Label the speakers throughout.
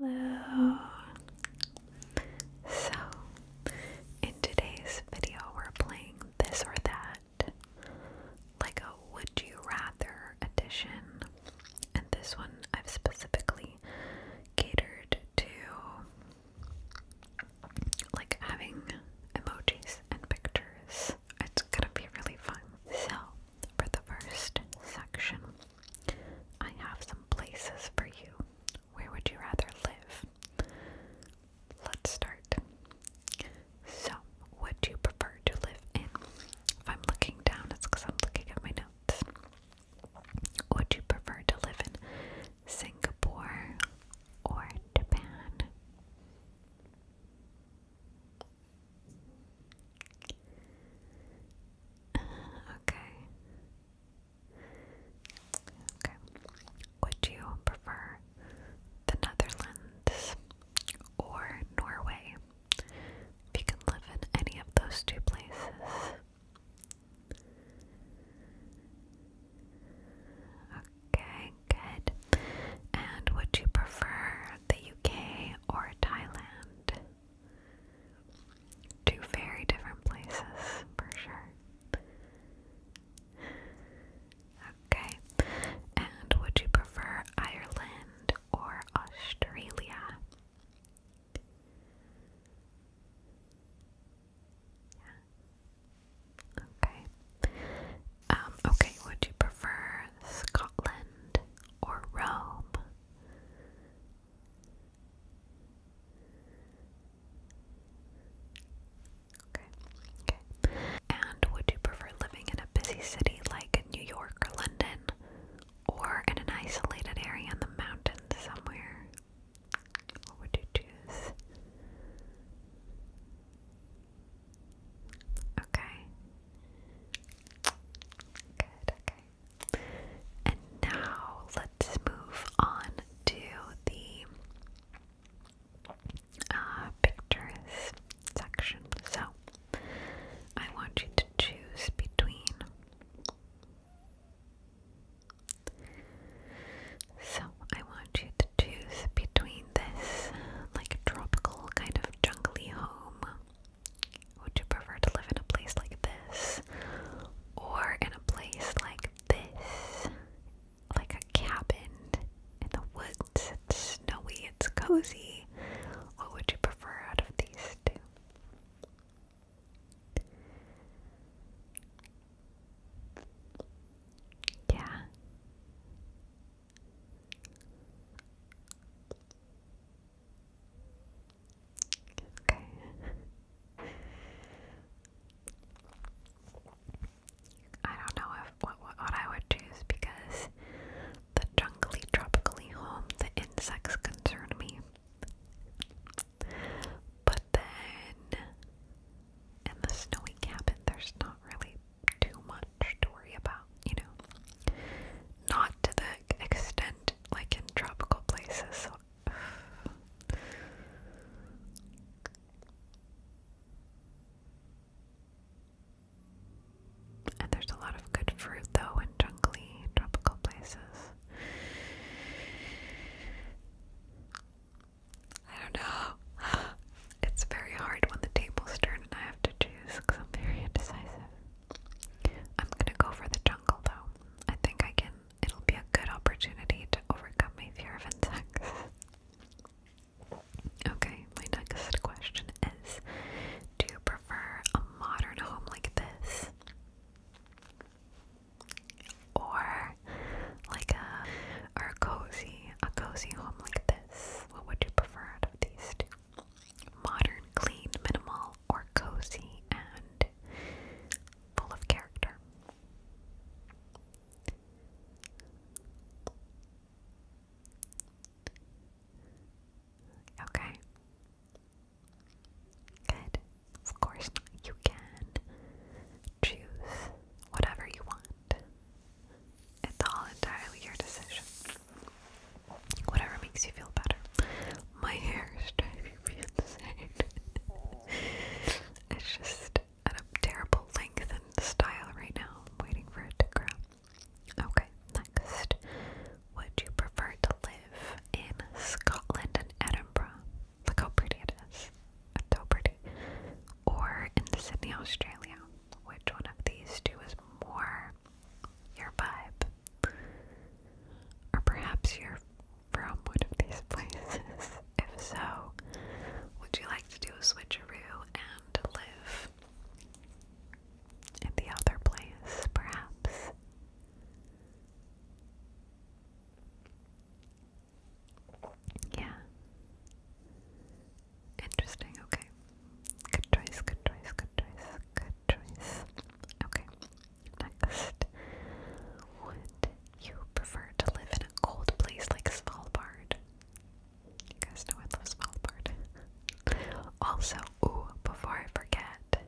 Speaker 1: Hello. So, in today's video, we're playing this or that, like a would you rather edition. And this one I've specifically catered to like having emojis and pictures. It's gonna be really fun. So, for the first section, I have some places for you. Where would you rather live? Let's start. So, would you prefer to live in? If I'm looking down, it's because I'm looking at my notes. Would you prefer to live in Singapore or Japan? Uh, okay. Okay. Would you prefer the Netherlands or Norway? If you can live in any of those two places. Okay, good. And would you prefer the UK or Thailand? Two very different places, for sure. Okay, and would you prefer Ireland or Australia? Okay. Um, okay, would you prefer Scotland or Rome? Okay. Okay. And would you prefer living in a busy city like New York or London or in an isolated area in the mountains somewhere? What would you choose? Okay. Good, okay. And now let's move on to the uh, pictures section. So I want you to choose between so I want you to choose between this like tropical kind of jungly home would you prefer to live in a place like this or in a place like this? Like a cabin in the woods. It's snowy, it's cozy. What would you prefer out of these two? Yeah. Okay. I don't know if what, I would choose because the jungly tropically home, the insects concern me. But then in the snowy cabin there's not really too much to worry about, you know? Not to the extent like in tropical places. So. And there's a lot of good fruit though in jungly tropical places. I don't know. It's very hard when the table's turn, and I have to choose because I'm very indecisive. I'm gonna go for the jungle though. I think I can, it'll be a good opportunity to overcome my fear of insects. Okay, my next question is Do you prefer a modern home like this? Or like a or a cozy, a cozy home like this? What would you prefer out of these two? modern, clean, minimal, or cozy and full of character. Okay. Good. Of course, you can choose whatever you want. It's all entirely your decision. Whatever makes you feel better. My hair is driving me insane. it's just at a terrible length and style right now. I'm waiting for it to grow. Okay, next. Would you prefer to live in Scotland and Edinburgh? Look how pretty it is. It's pretty. Or in Sydney, Australia which one of these two is more your vibe? Or perhaps you're from one of these places. If so, would you like to do a switcheroo and live in the other place, perhaps? Yeah. Interesting, okay. Good choice, good choice, good choice, good choice. Okay, next. Would you prefer to live in a cold place like Svalbard? You guys know I love Svalbard. also, ooh, before I forget,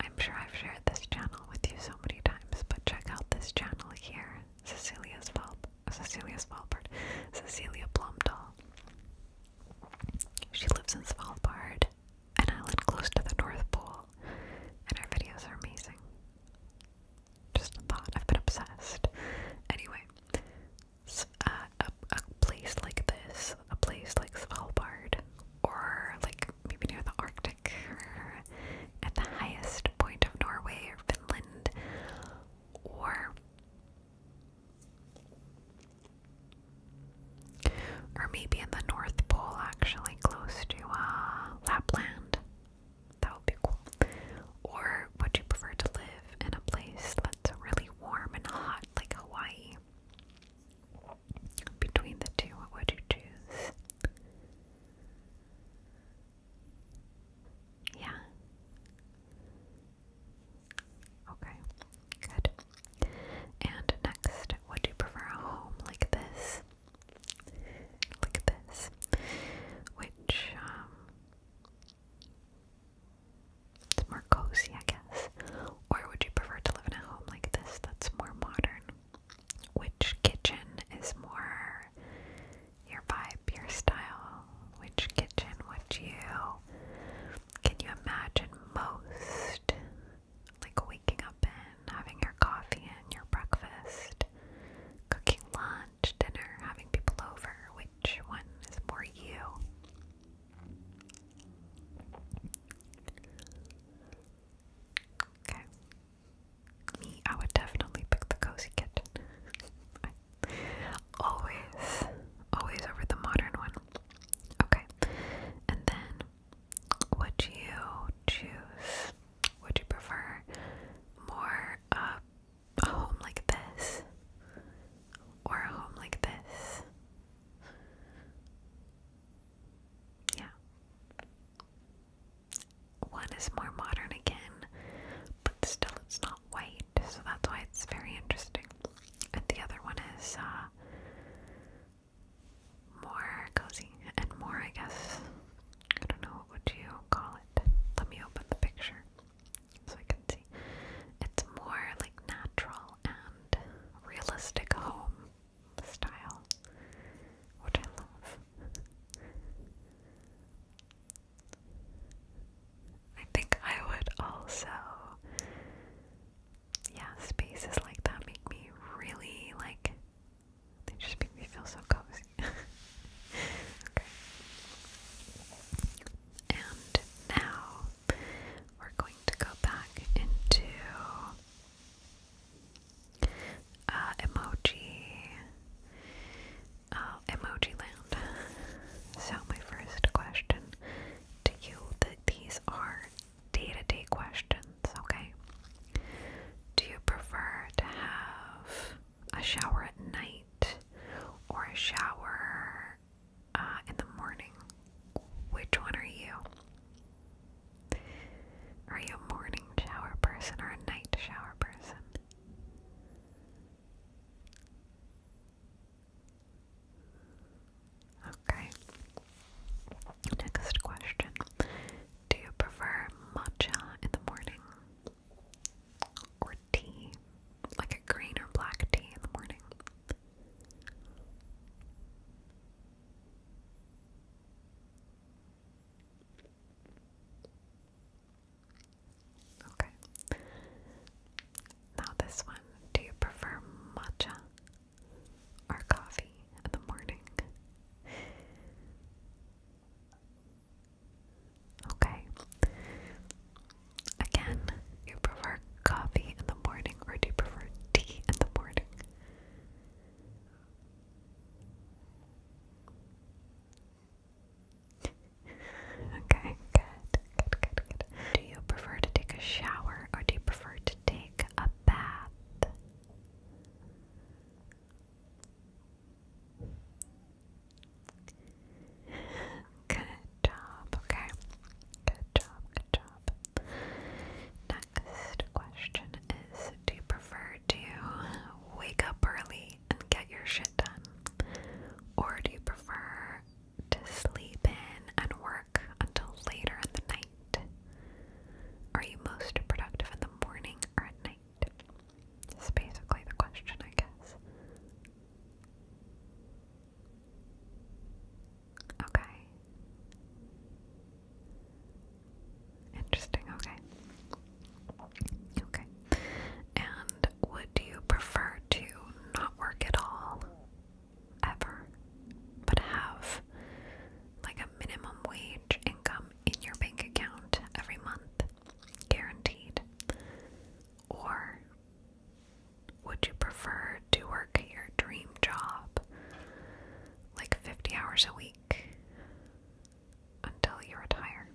Speaker 1: I'm sure I've shared this channel with you so many times, but check out this channel here, Cecilia's Valp. Cecilia Svalbard, Cecilia Plumdahl. She lives in Svalbard, an island close to the North Pole, and her videos are amazing. Just a thought, I've been obsessed. Anyway, uh, a, a place like this, a place like Svalbard, or like maybe near the Arctic, or at the highest point of Norway or Finland, or or maybe in the North Pole actually close to uh, Lapland. That would be cool. Or would you prefer to live in a place that's really warm and hot like Hawaii? Between the two, what would you choose? Yeah. Okay, good. And next, would you prefer a home like this? Like this, which, um, it's more cozy, I guess. Or would you prefer to live in a home like this that's more modern? Which kitchen is more your vibe, your style, which kitchen would you can you imagine most like waking up and having your coffee and your breakfast, cooking lunch, dinner, having people over, which one is more you? Okay me, I would definitely pick the cozy kit. always, always over the modern one. Okay, and then would you choose? Would you prefer more a home like this or a home like this? Yeah. One is more modern again, but still it's not white, so that's why it's very interesting. And the other one is uh, more cozy and more, I guess. I don't know what would you call it. Let me open the picture so I can see. It's more like natural and realistic home style, which I love. I think I would also. Yeah, spaces like that make me really like. They just make me feel so cozy. okay. And now we're going to go back into uh, emoji, oh, emoji land. So my first question to you these are day-to-day questions, okay? Do you prefer to have a shower at night or a shower uh, in the morning? Which one are you? Are you a morning shower person or a night shower person? Okay. Next question. Do you prefer matcha in the morning or tea? Like a green or black tea in the morning? Okay. Now, this one. Do you prefer matcha or coffee in the morning? Okay. Again, you prefer coffee in the morning or do you prefer tea in the morning? okay, good, good, good, good. Do you prefer to take a shower or do you prefer to take a bath? Good job, okay. Good job, good job next question is Do you prefer to wake up early and get your shit done? Or do you prefer to sleep in and work until later in the night? Are you most productive in the morning or at night? That's basically the question, I guess. Okay, Interesting, okay. Okay. And would you prefer to not work at all? Ever? But have like a minimum wage income in your bank account every month, guaranteed? Or would you prefer to work your dream job like 50 hours a week? until you retire?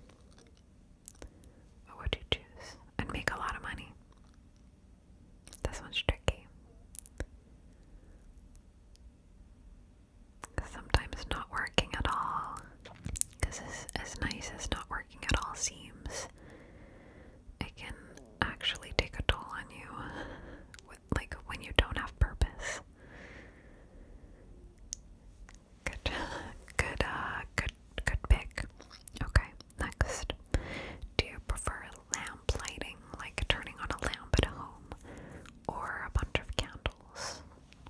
Speaker 1: What would you choose? And make a lot of money. This one's tricky. Sometimes not working at all, because as nice as not working at all seems, it can actually take a toll on you like when you don't have purpose. Good, good, uh, good, good pick. Okay, next. Do you prefer lamp like turning on a lamp at home, or a bunch of candles?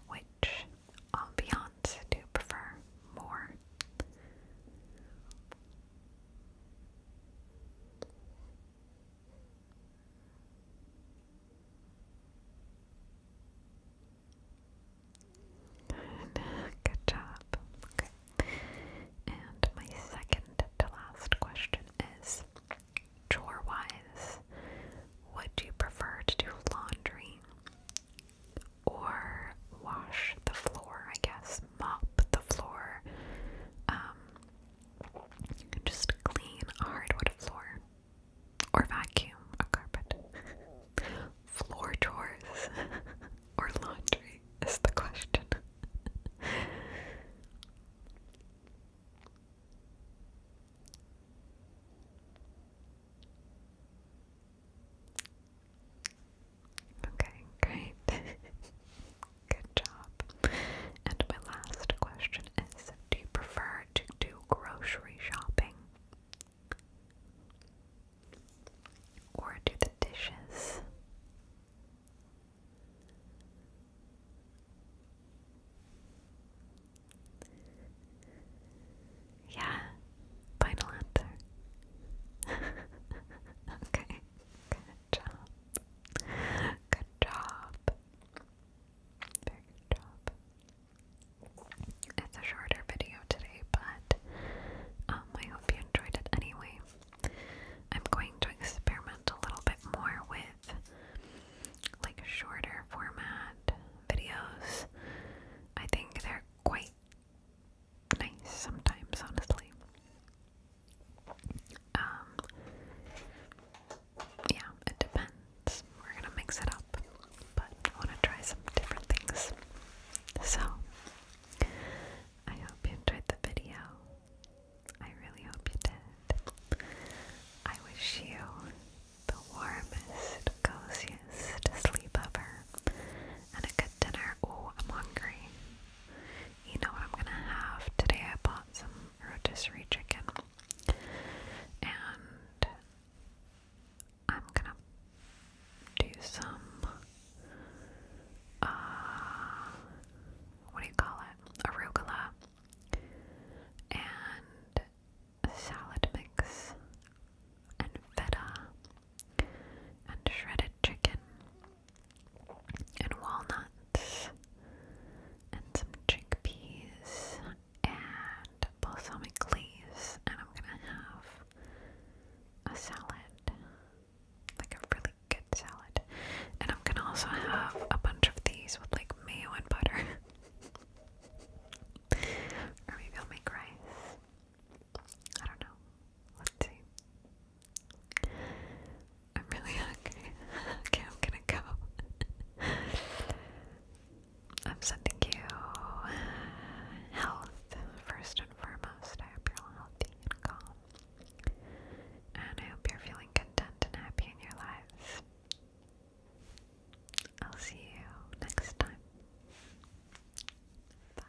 Speaker 1: Which ambiance do prefer more? Good. Good job. Okay. And my second to last question is chore wise, would you prefer to do laundry or wash the floor? I guess mop the floor, um, just clean hardwood floor or vacuum a carpet. floor chores or laundry is the question. Okay, great. Good job. And my last question is Do you prefer to do grocery shopping or do the dishes? Yeah, final answer. okay, Good job. Very good job. It's a shorter video today, but um, I hope you enjoyed it anyway. I'm going to experiment a little bit more with like shorter format videos. I think they're quite nice sometimes, honestly. Um, yeah, it depends. We're gonna mix it up, but I wanna try some different things. So, I hope you enjoyed the video. I really hope you did. I wish you the warmest, coziest sleepover and a good dinner. Oh, I'm hungry you know what I'm gonna have? Today I bought some rotisserie chicken and I'm gonna do some uh what do you call it? Arugula and salad mix and feta and shredded chicken and walnuts and some chickpeas and balsamic leaves and I'm gonna have a salad. Like a really good salad. And I'm gonna also have a bunch of these with like mayo and butter. or maybe I'll make rice. I don't know. Let's see. I'm really hungry. okay, I'm gonna go. I'm sending you uh, health first and foremost. I hope you're all healthy and calm. And I hope you're feeling content and happy in your lives. I'll see you next time. Bye.